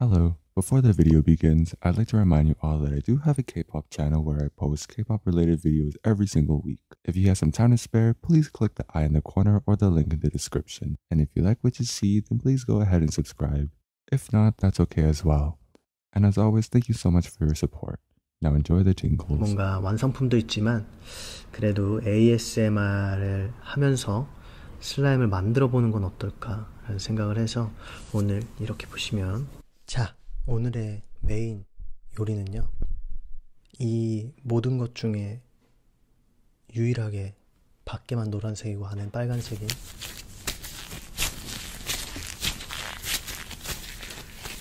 Hello, before the video begins, I'd like to remind you all that I do have a K-pop channel where I post K-pop related videos every single week. If you have some time to spare, please click the eye in the corner or the link in the description. And if you like what you see, then please go ahead and subscribe. If not, that's okay as well. And as always, thank you so much for your support. Now enjoy the jingles. 슬라임을 만들어 보는 건 어떨까 라는 생각을 해서 오늘 이렇게 보시면 자 오늘의 메인 요리는요 이 모든 것 중에 유일하게 밖에만 노란색이고 안엔 빨간색인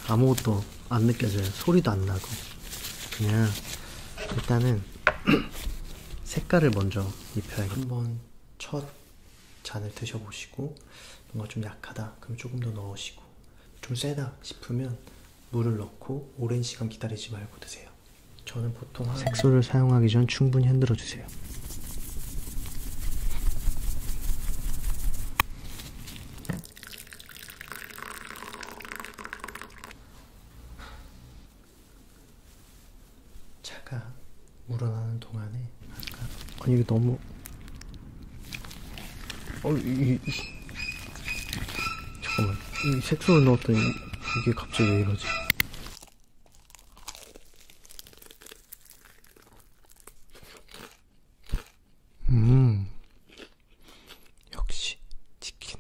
아무것도 안 느껴져요 소리도 안 나고 그냥 일단은 색깔을 먼저 입혀야겠 한번 첫 잔을 드셔보시고 뭔가 좀 약하다 그럼 조금 더 넣으시고 좀 세다 싶으면 물을 넣고 오랜 시간 기다리지 말고 드세요. 저는 보통 한... 색소를 사용하기 전 충분히 흔들어 주세요. 차가 물어나는 동안에 아까 아니 이게 너무 어 이, 이... 잠깐만 이 색소를 넣었더니 이게 갑자기 왜 이러지? 음 역시 치킨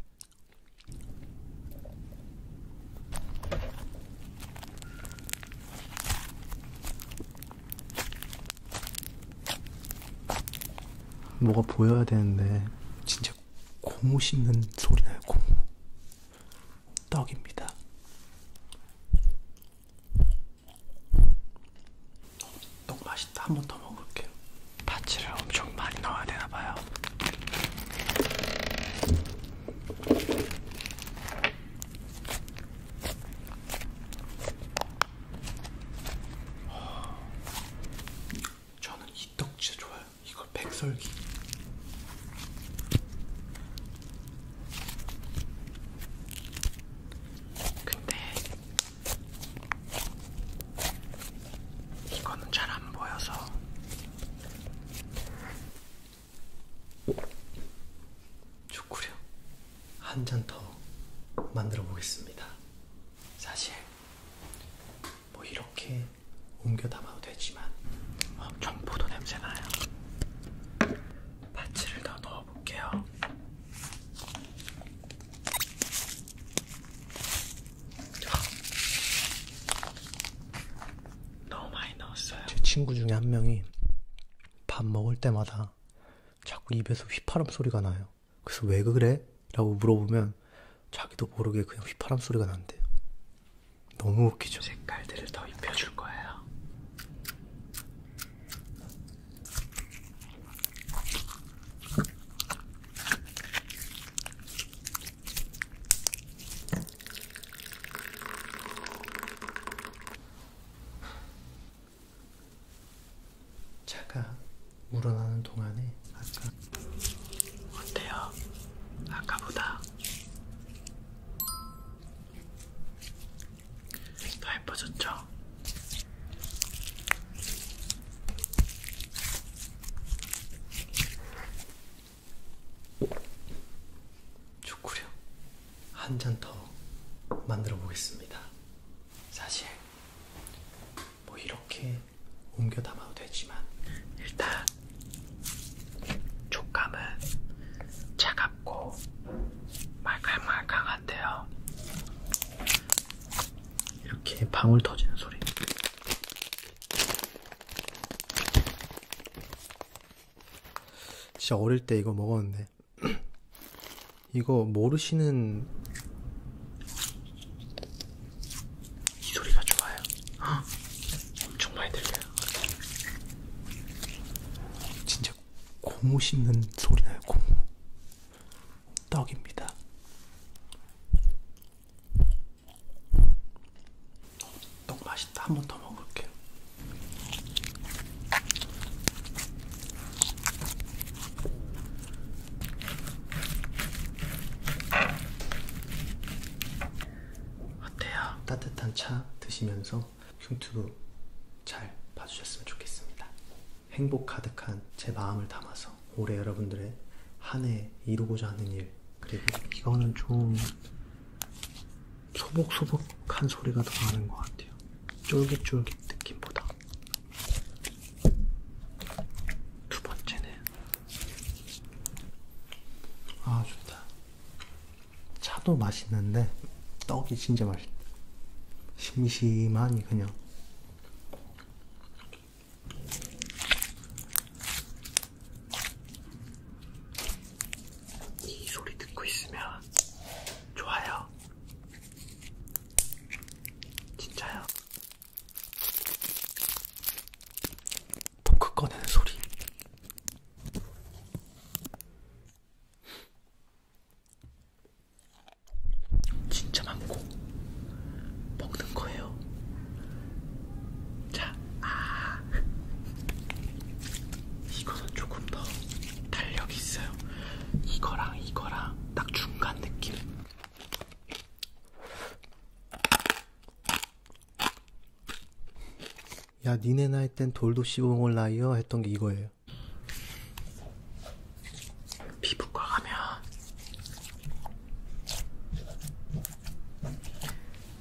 뭐가 보여야 되는데 진짜 고무 씹는 소리 나요 고무 떡입니다 떡 맛있다 한 번 더 먹을게요 파츠를 엄청 많이 넣어야 되나봐요 저는 이떡 진짜 좋아요. 이거 백설기. 근데 이거는 잘 안 보여서 초구려 한잔 더 만들어 보겠습니다. 사실 뭐 이렇게 옮겨 담아도 되지만 어, 점포도 냄새 나요. 파츠를 더 넣어 볼게요. 너무 많이 넣었어요. 제 친구 중에 한 명이 밥 먹을 때마다 자꾸 입에서 휘파람 소리가 나요. 그래서 왜 그래? 라고 물어보면 자기도 모르게 그냥 휘파람 소리가 난대요. 너무 웃기죠? 색깔들을 더 입혀줄 거예요. 차가 물어나는 동안에 아까 어때요? 아까보다 더 예뻐졌죠? 초구려 한잔 더 만들어 보겠습니다. 사실 뭐 이렇게 옮겨 담아도 되지만 일단 촉감은 차갑고 말캉말캉한데요. 이렇게 방울 터지는 소리. 진짜 어릴 때 이거 먹었는데 이거 모르시는 이 소리가 좋아요 헉, 엄청 많이 들려요 진짜 고무 씹는 소리 나요 고무 떡입니다 너무 맛있다. 한 번 더 먹어볼게요. 어때요? 따뜻한 차 드시면서 흉튜브 잘 봐주셨으면 좋겠습니다. 행복 가득한 제 마음을 담아서 올해 여러분들의 한 해 이루고자 하는 일 그리고 이거는 좀 소복소복한 소리가 더 나는 것 같아요. 쫄깃쫄깃 느낌보다. 두 번째는 아 좋다. 차도 맛있는데 떡이 진짜 맛있다. 심심하니 그냥 이 소리 듣고 있으면 좋아요. 진짜요. 포크 꺼내는 소리. 진짜 많고 먹는 거예요. 자, 아. 이거는 조금 더 탄력이 있어요. 이거랑 이거랑 딱 중간 느낌. 야, 니네 나이 땐 돌도 씹어먹을라이어 했던 게 이거예요. 피부과 가면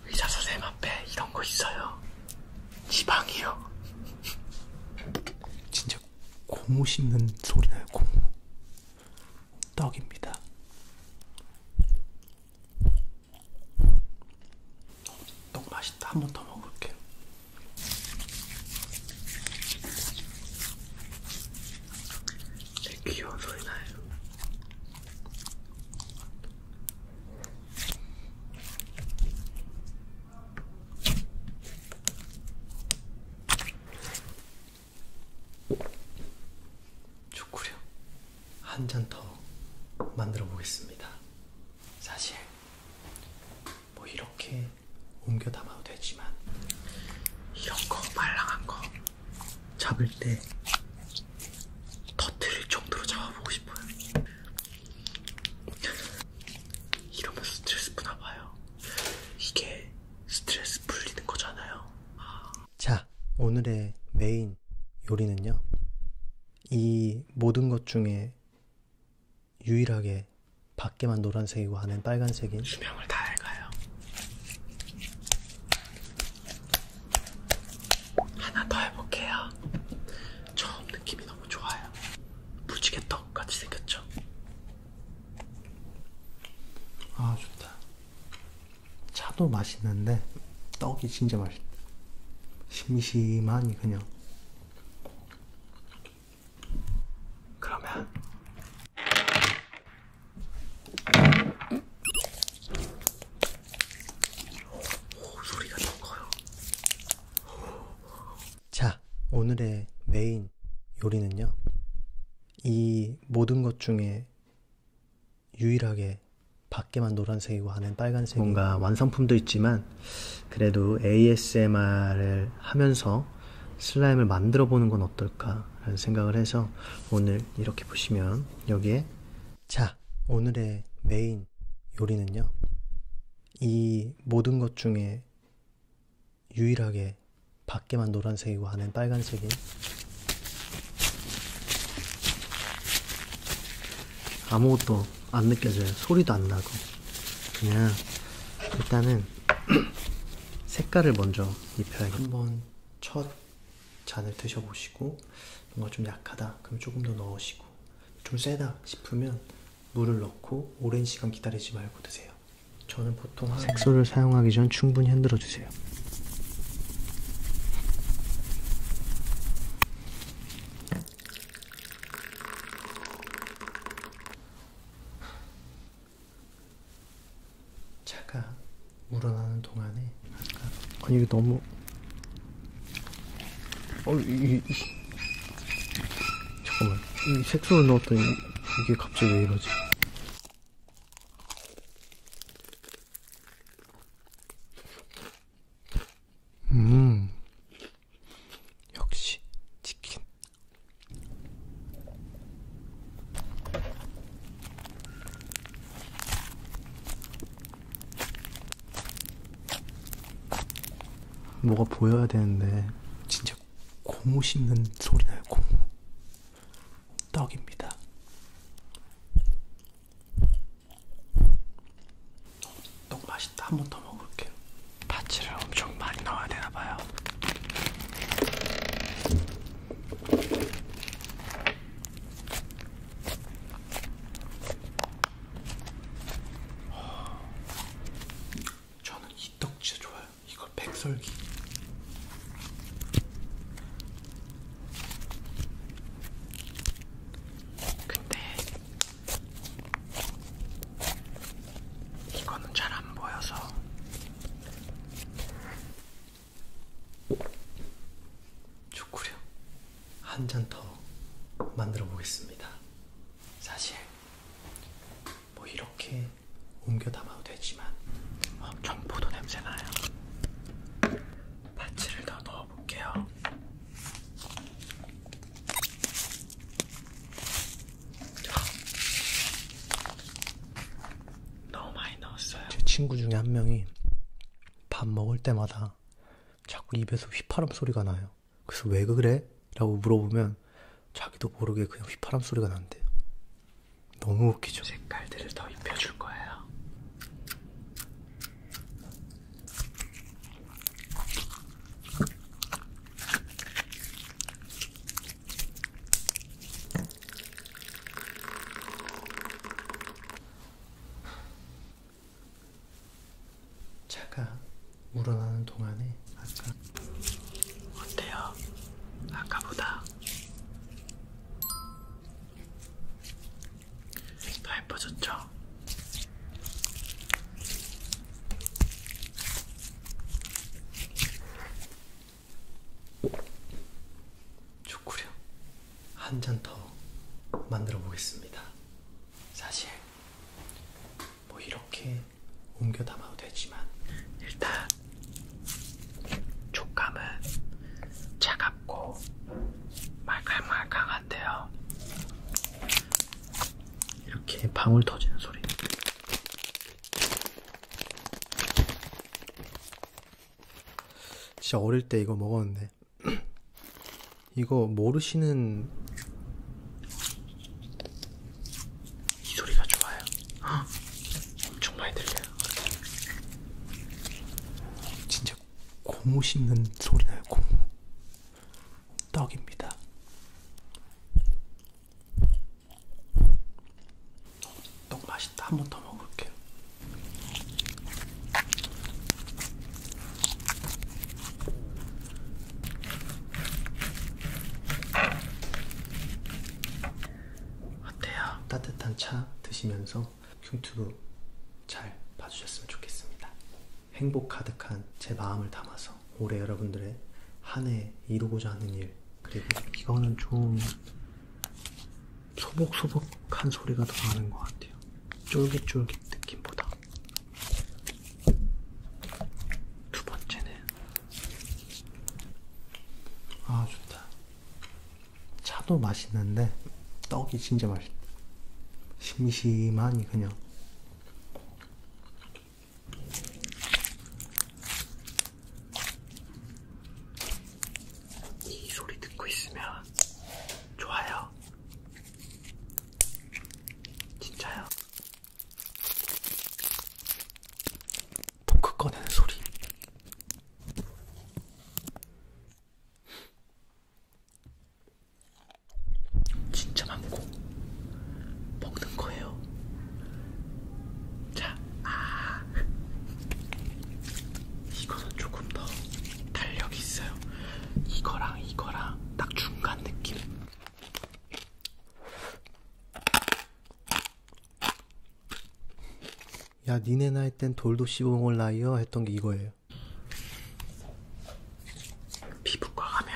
의사 선생님 앞에 이런 거 있어요. 지방이요. 진짜 고무 씹는 소리나요, 고무. 떡입니다. 떡 맛있다. 한 번 더 먹을게요. 되게 귀여운 소리 나요. 초쿠령 한잔 더 만들어 보겠습니다. 사실 뭐 이렇게 옮겨 담아도 되지만 이런 거 말랑한 거 잡을 때 터트릴 정도로 잡아보고 싶어요. 이러면서 스트레스 푸나 봐요. 이게 스트레스 풀리는 거잖아요. 자, 오늘의 메인 요리는요. 이 모든 것 중에 유일하게 밖에만 노란색이고 안엔 빨간색인 수명을 다 갉아요. 하나 더 해볼게요. 처음 느낌이 너무 좋아요. 무지개 떡 같이 생겼죠? 아 좋다. 차도 맛있는데 떡이 진짜 맛있다. 심심하니 그냥. 그러면 오, 소리가 너무 커요. 자, 오늘의 메인 요리는요. 이 모든 것 중에 유일하게 밖에만 노란색이고 안엔 빨간색 뭔가 완성품도 있지만 그래도 ASMR을 하면서 슬라임을 만들어 보는 건 어떨까? 어떨까라는 생각을 해서 오늘 이렇게 보시면 여기에 자 오늘의 메인 요리는요 이 모든 것 중에 유일하게 밖에만 노란색이고 안엔 빨간색인 아무것도 안 느껴져요 소리도 안 나고 그냥 일단은 색깔을 먼저 입혀야겠다 한번 첫 잔을 드셔보시고 뭔가 좀 약하다 그럼 조금 더 넣으시고 좀 세다 싶으면 물을 넣고 오랜 시간 기다리지 말고 드세요. 저는 보통 한... 색소를 사용하기 전 충분히 흔들어 주세요. 차가 우러나는 동안에 아까 아니 이게 너무 어 이게 잠깐만 이 색소를 넣었더니 이게 갑자기 왜 이러지? 음 역시 치킨 뭐가 보여야 되는데 진짜 고무 씹는 소리 나요 고무 떡입니다 떡 맛있다 한 번 더 먹을게요 파츠를 엄청 많이 넣어야 되나봐요 저는 이 떡 진짜 좋아요. 이거 백설기. 근데 이거는 잘 안 보여서 초구려 한잔 더 만들어 보겠습니다. 사실 뭐 이렇게 옮겨 담아도 되지만 어, 경포도 냄새 나요. 파츠를 더 넣어 볼게요. 너무 많이 넣었어요. 제 친구 중에 한 명이 밥 먹을 때마다 자꾸 입에서 휘파람 소리가 나요. 그래서 왜 그래? 라고 물어보면 자기도 모르게 그냥 휘파람 소리가 난대요. 너무 웃기죠. 색깔들을 더 입혀줄 거예요. 차가 우러나는 동안에 아까 어때요? 아까보다 더 예뻐졌죠? 초쿠령 한잔 더 만들어 보겠습니다. 사실 뭐 이렇게 옮겨 담아도 되지만 일단 촉감은 차갑고 말캉말캉한데요. 이렇게 방울 터지는 소리 진짜 어릴 때 이거 먹었는데 이거 모르시는 이 소리가 좋아요. 헉, 엄청 많이 들려요. 진짜 고무 씹는 소리나요. 고무 떡입니다. 너무 맛있다. 한 번 더 먹을게요. 어때요? 따뜻한 차 드시면서 큐튜브 잘 봐주셨으면 좋겠습니다. 행복 가득한 제 마음을 담아서 올해 여러분들의 한 해 이루고자 하는 일 그리고 이거는 좀 소복소복한 소리가 더 나는 것 같아요. 쫄깃쫄깃 느낌보다. 두 번째는 아 좋다. 차도 맛있는데 떡이 진짜 맛있다. 심심하니 그냥 이 소리 듣고 있으면 좋아요. 진짜요. 토크 꺼내는 소리. 진짜 많고 먹는 거예요. 자, 아, 이거는 조금 더 탄력이 있어요. 이거랑 이거랑 딱 중간 느낌. 야, 니네 나이 땐 돌도 씹어먹을 나이여 했던 게 이거예요. 피부과 가면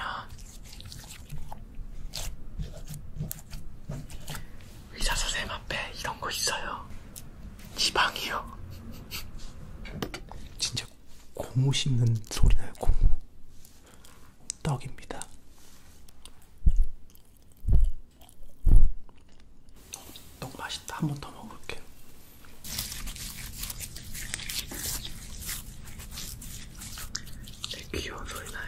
의사 선생님 앞에 이런 거 있어요. 지방이요. 진짜 고무 씹는 소리나요, 고무. 떡입니다. 떡 맛있다. 한 번 더 먹어볼게요. 네, 귀여운 소리 나요.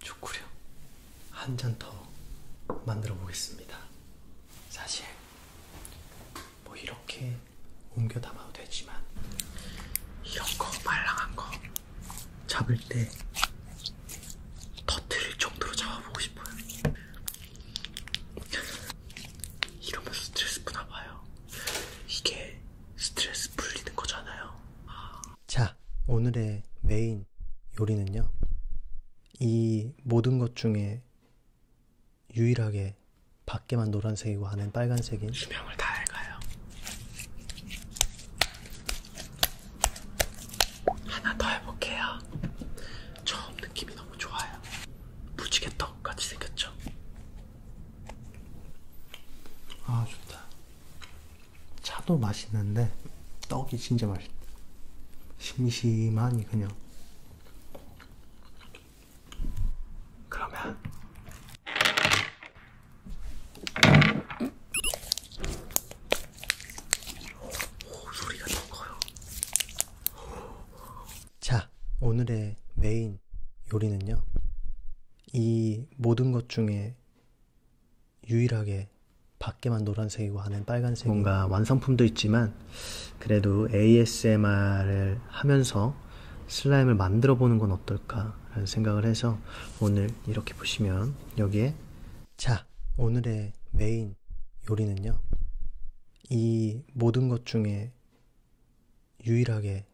초쿠령 한잔 더 만들어 보겠습니다. 사실 뭐 이렇게 옮겨 담아도 되지만 이런 거 말랑한 거 잡을 때 터트릴 정도로 잡아보고 싶어요. 이러면서 스트레스 푸나 봐요. 이게 스트레스 풀리는 거잖아요. 자, 오늘의 메인 요리는요. 이 모든 것 중에 유일하게 밖에만 노란색이고 안엔 빨간색인 수명을 다 알가요. 하나 더 해볼게요. 처음 느낌이 너무 좋아요. 무지개 떡 같이 생겼죠? 아 좋다. 차도 맛있는데 떡이 진짜 맛있다. 심심하니 그냥. 그러면 오, 소리가 너무 커요. 자, 오늘의 메인 요리는요. 이 모든 것 중에 유일하게 밖에만 노란색이고 안엔 빨간색 뭔가 완성품도 있지만 그래도 ASMR을 하면서 슬라임을 만들어 보는 건 어떨까라는 생각을 해서 오늘 이렇게 보시면 여기에 자 오늘의 메인 요리는요 이 모든 것 중에 유일하게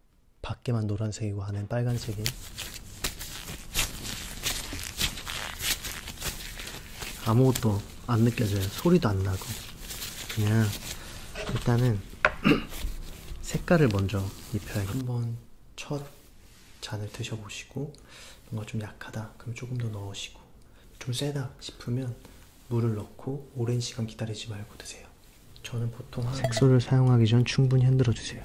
밖에만 노란색이고 안엔 빨간색인 아무것도 안 느껴져요 소리도 안 나고 그냥 일단은 색깔을 먼저 입혀야겠다 한번 첫 잔을 드셔보시고 뭔가 좀 약하다 그럼 조금 더 넣으시고 좀 세다 싶으면 물을 넣고 오랜 시간 기다리지 말고 드세요. 저는 보통 한... 색소를 사용하기 전 충분히 흔들어 주세요.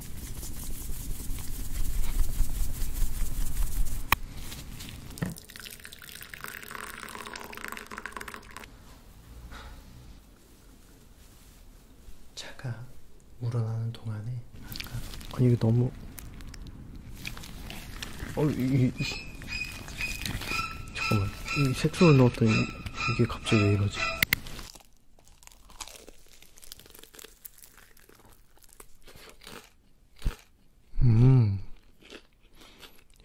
차가 우러나는 동안에 아까 아니 이게 너무 어, 이, 이, 잠깐만 이 색소를 넣었더니 이게 갑자기 왜 이러지? 음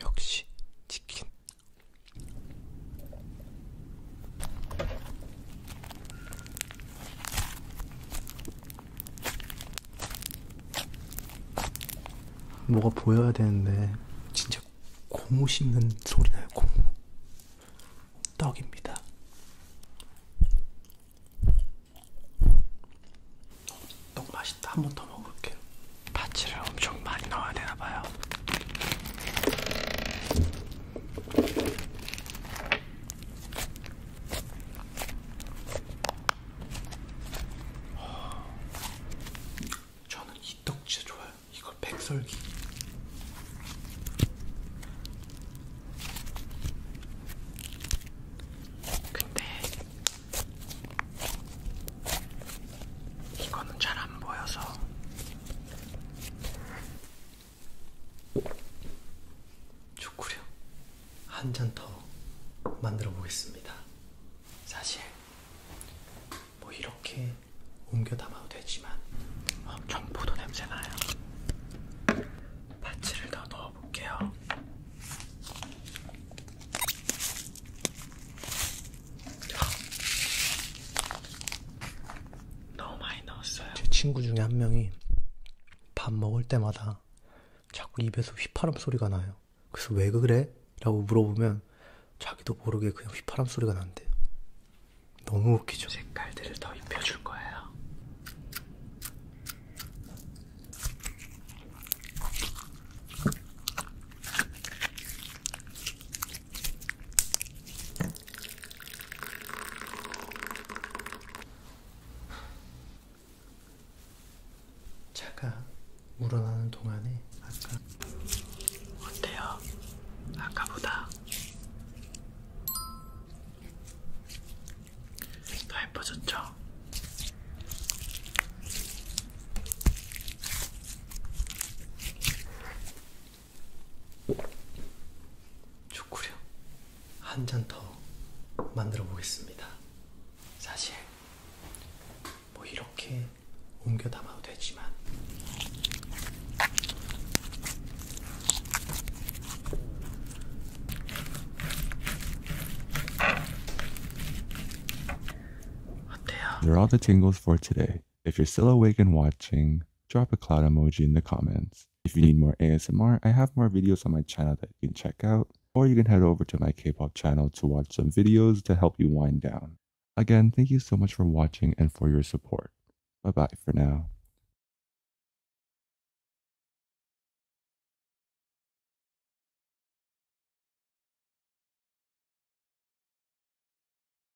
역시 치킨 뭐가 보여야 되는데 진짜 고무 씹는 소리 나요 고무 떡입니다 떡 맛있다 한 번 더 먹을게요 파츠를 엄청 많이 넣어야 되나봐요 저는 이떡 진짜 좋아요. 이걸 백설기. 근데 이거는 잘 안 보여서 초쿠령 한잔 더 만들어 보겠습니다. 사실 뭐 이렇게 옮겨 담아도 되지만 어, 경포도 냄새 나요. 파츠를 더 넣어볼게요. 너무 많이 넣었어요. 제 친구 중에 한 명이 밥 먹을 때마다 자꾸 입에서 휘파람 소리가 나요. 그래서 왜 그래? 라고 물어보면 자기도 모르게 그냥 휘파람 소리가 난대요. 너무 웃기죠. 색깔들을 더 입혀줄 거예요. 차가 물어나는 동안에 아까 어때요? 아까보다 더 예뻐졌죠? 초쿠류 한잔 더 만들어 보겠습니다. 사실 뭐 이렇게 옮겨 담아도 되지만 There are the tingles for today. If you're still awake and watching, drop a cloud emoji in the comments. If you need more ASMR, I have more videos on my channel that you can check out, or you can head over to my K-pop channel to watch some videos to help you wind down. Again, thank you so much for watching and for your support. Bye-bye for now.